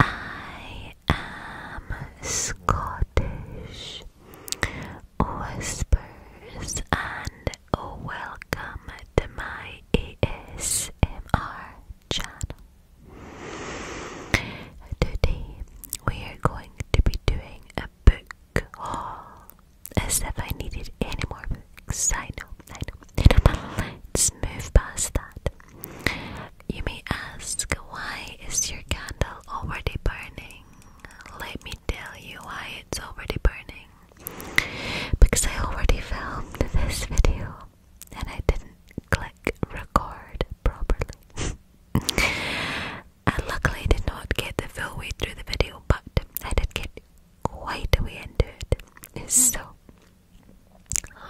I am Scottish Whispers and welcome to my ASMR channel. Today we are going to be doing a book haul. As if I needed any more books. I know, I know. let's move past that. You may ask, why is your candle already burning? Let me tell you why it's already burning. Because I already filmed this video and I didn't click record properly. I luckily did not get the full way through the video, but I did get quite a way into it. Hmm. So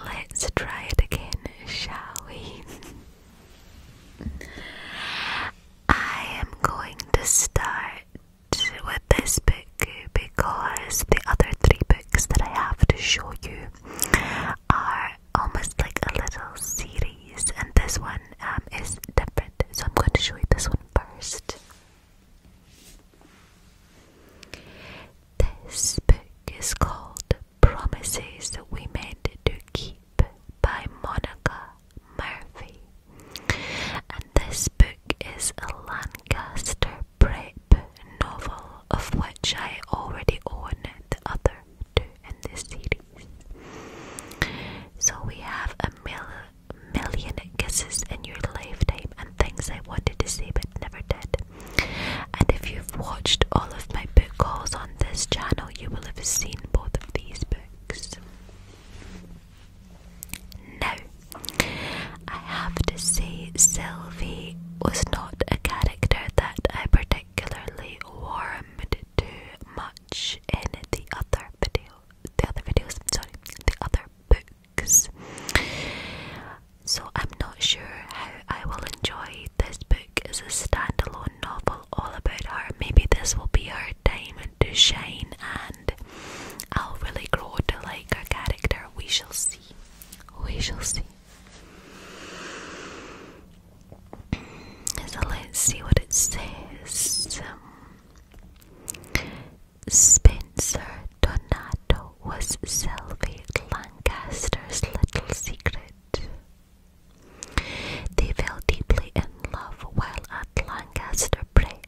let's try it again, shall we? I am going to start with this book because the other three books that I have to show you are almost like a little series, and this one um, is different. So I'm going to show you this one first. This book is called Promises We Made to Keep by Monica Murphy. And this book is a Lancaster prep novel of which I already own the other in this series. So we have a million kisses in your lifetime and things I wanted to say but never did. And if you've watched all of my book calls on this channel, you will have seen both of these books. No, I have to say Sylvie was not a character that I predicted particularly warmed to much in the other video the other videos sorry the other books so I'm not sure how I will enjoy this book as a standalone novel all about her maybe this will be her time to shine and I'll really grow to like her character we shall see we shall see so let's see what it says. Um, Spencer Donato was Sylvie Lancaster's little secret. They fell deeply in love while at Lancaster Prep,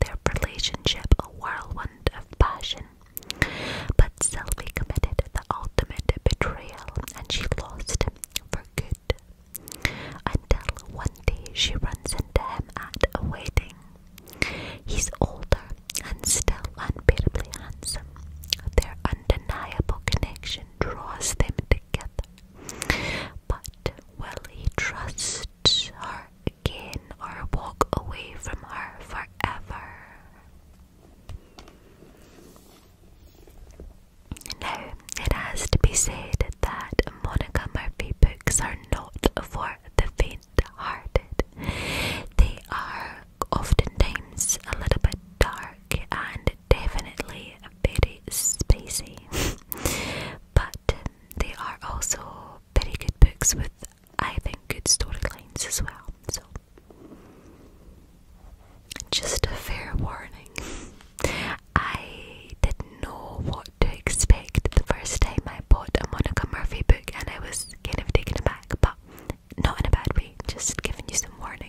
their relationship a whirlwind of passion. But Sylvie committed the ultimate betrayal and she lost him for good. Until one day she runs into him at a wedding. He's older and still unbearably handsome. Their undeniable connection draws them together. But will he trust her again or walk away from her forever? Now, it has to be said that Monica Murphy books are not for the faint-hearted. They are oftentimes a little bit dark and definitely very spicy, but um, they are also very good books with, I think, good storylines as well. So just a fair warning. I didn't know what to expect the first time I bought a Monica Murphy book, and I was kind of taken aback, but not in a bad way, just giving you some warning.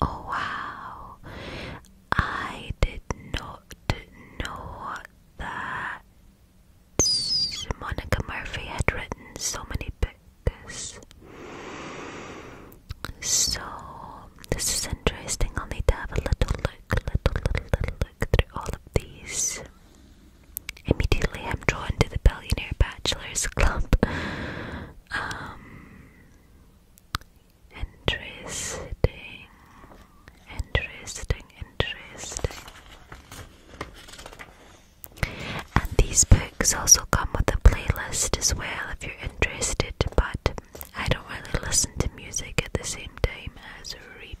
Oh, wow, I did not know that Monica Murphy had written so many books. So this is interesting. I'll need to have a little look, little, little, little look through all of these. Immediately, I'm drawn to the Billionaire Bachelors Club. Um, interesting, interesting, interesting. And these books also come with a playlist as well if you're interested, but I don't really listen to music at the same time as reading.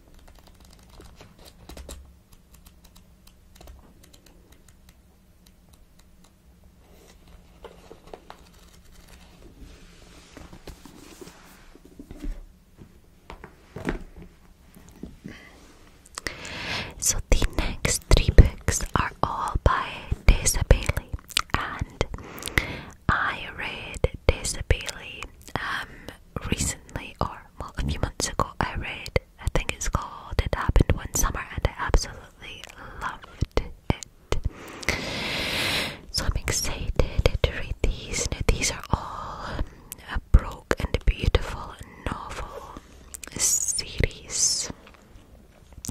So the next three books are all by Daisy Bailey, and I read Daisy Bailey um, recently, or well, a few months ago, I read, a thing. it's called It Happened One Summer, and I absolutely loved it. So I'm excited to read these. these are all a broke and beautiful novel series.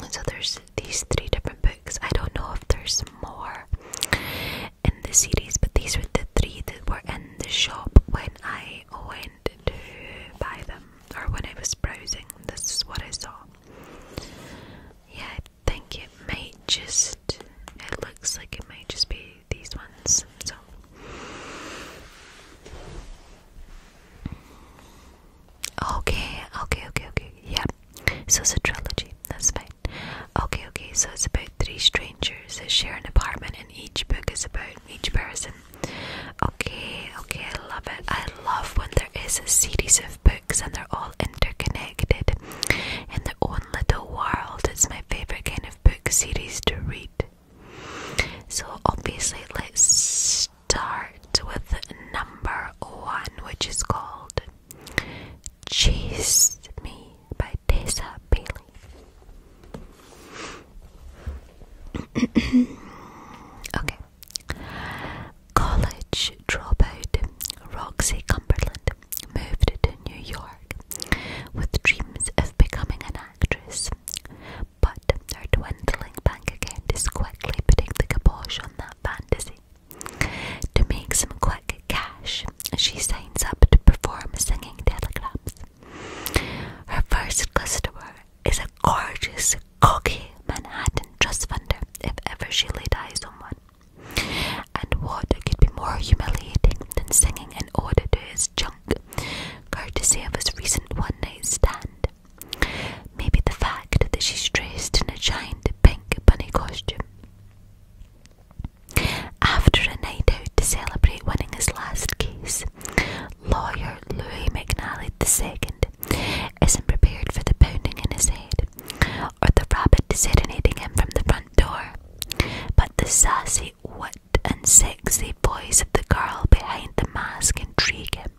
So there's these three different books. I don't know if there's more in the series, but these were the three that were in the shop when I went to buy them, or when I was browsing. This is what I saw. Yeah, I think it might just. It looks like it might just be these ones. So. Okay, okay, okay, okay. Yeah. So it's a trilogy. That's fine. Okay, okay, so it's about three strangers that share an apartment, and each book is about each person. Okay, okay, I love it. I love when there is a series of books and they're all interconnected in their own little world. It's my favorite kind of book series to read. So, obviously, let's start with number one, which is called Chase Me by Desa Bailey. okay. College dropout Roxy Cumberland moved to New York with dreams of becoming an actress, but her dwindling bank account is quickly putting the kibosh on that fantasy. To make some quick cash, she signs up to perform singing telegrams. Her first customer is a gorgeous, cocky Manhattan trust funder, if ever she laid eyes on one. And what could be more humiliating than singing an order to his junk, courtesy of his recent one night stand? Maybe the fact that she's dressed in a giant pink bunny costume. After a night out to celebrate winning his last case, lawyer Louis McNally II isn't prepared for the pounding in his head or the rabbit serenading him from the front door, but the sassy wit and sexy voice of the girl behind the mask intrigues him,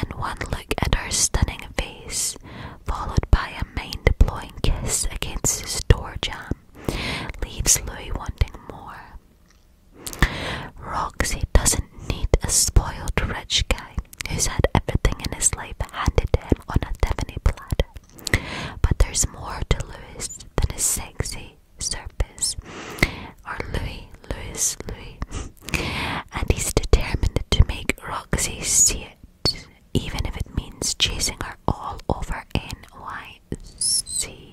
and one look at her stunning face followed by a mind-blowing kiss against his door jamb, leaves Louis wanting more. Roxy doesn't need a spoiled rich guy who's had everything in his life handed to him on a Tiffany platter. But there's more to Louis than his sexy surface. Or Louis, Louis, Louis. and he's determined to make Roxy see it even if it means chasing her all over NYC.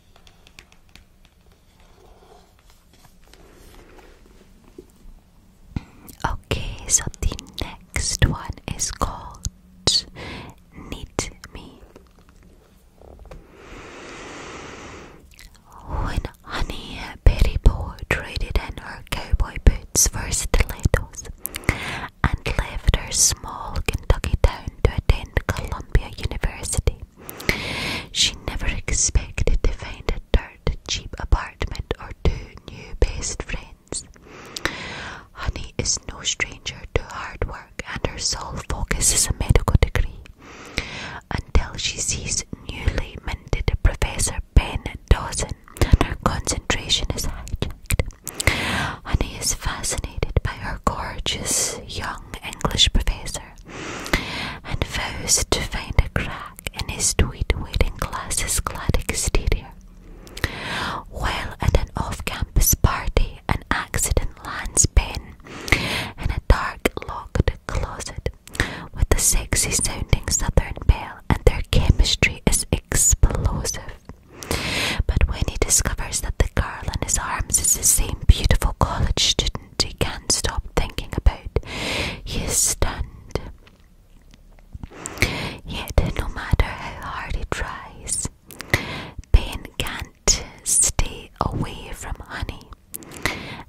Okay, so the next one is called Knit Me. When Honey Betty Bo traded in her cowboy boots for stilettos and left her small Kentucky town to attend Columbia University. She never expected to find a dirt cheap apartment or two new best friends. Honey is no stranger to hard work, and her sole focus is a medical degree. Until she sees newly minted Professor Ben Dawson, and her concentration is hijacked. Honey is fascinated by her gorgeous young English professor and vows to find a crack in his tweed wearing class's clad exterior. While at an off campus party, an accident lands Ben in a dark locked closet with a sexy sounding southern belle, and their chemistry is explosive. But when he discovers that the girl in his arms is the same beautiful college student he can't stop thinking about, he's stunned. Yet, no matter how hard he tries, pain can't stay away from honey.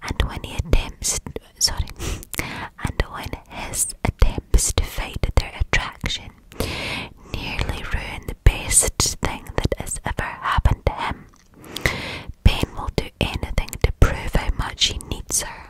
And when he attempts, sorry, and when his attempts to fade their attraction nearly ruined the best thing that has ever happened to him. Ben will do anything to prove how much he needs her.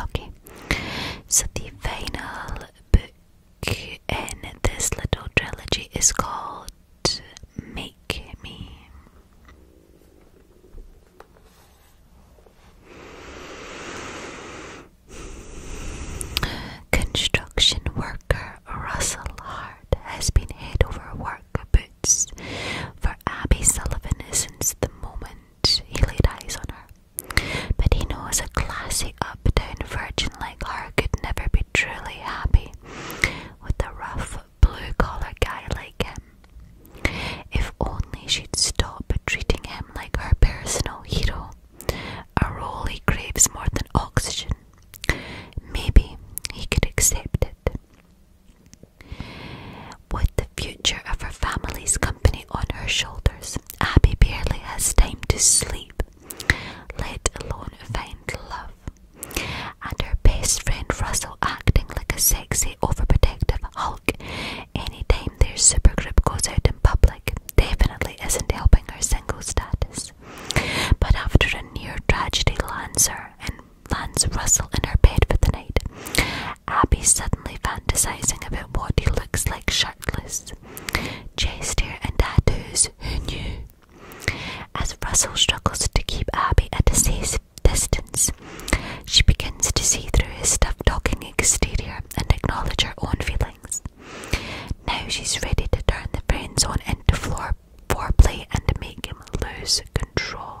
Okay, so the final book in this little trilogy is called Make Me. Construction worker Russell Hart has been head over work boots for Abby Sullivan since the moment he laid eyes on her. But he knows a classy up-down virgin like her could never be truly happy with a rough blue collar guy like him. If only she'd stop treating him like her personal hero, a role he craves more than oxygen. Maybe he could accept it. With the future of her family's company on her shoulders, Abby barely has time to sleep, let alone find love. And her best friend Russell acting like a sexy, overprotective hulk anytime their supergroup goes out in public definitely isn't helping her single status. But after a near tragedy lands her and lands Russell in her bed for the night, Abby suddenly fantasizing about what he looks like shirtless, chest hair and tattoos. Who knew? As Russell struggles to keep Abby at a safe distance, she begins to see through his stuff talking exterior and acknowledge her own feelings. Now she's ready to turn the brains on into floor foreplay and make him lose control.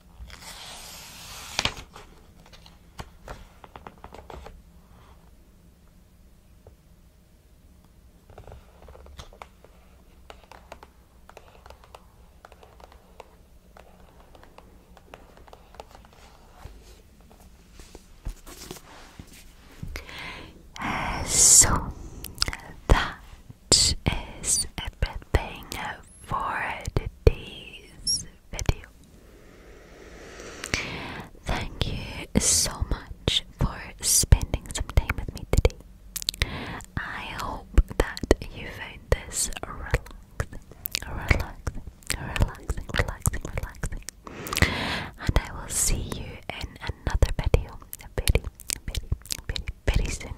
So that is everything for today's video. Thank you so much for spending some time with me today. I hope that you found this relaxing, relaxing, relaxing, relaxing, relaxing. And I will see you in another video very, very, very, very soon.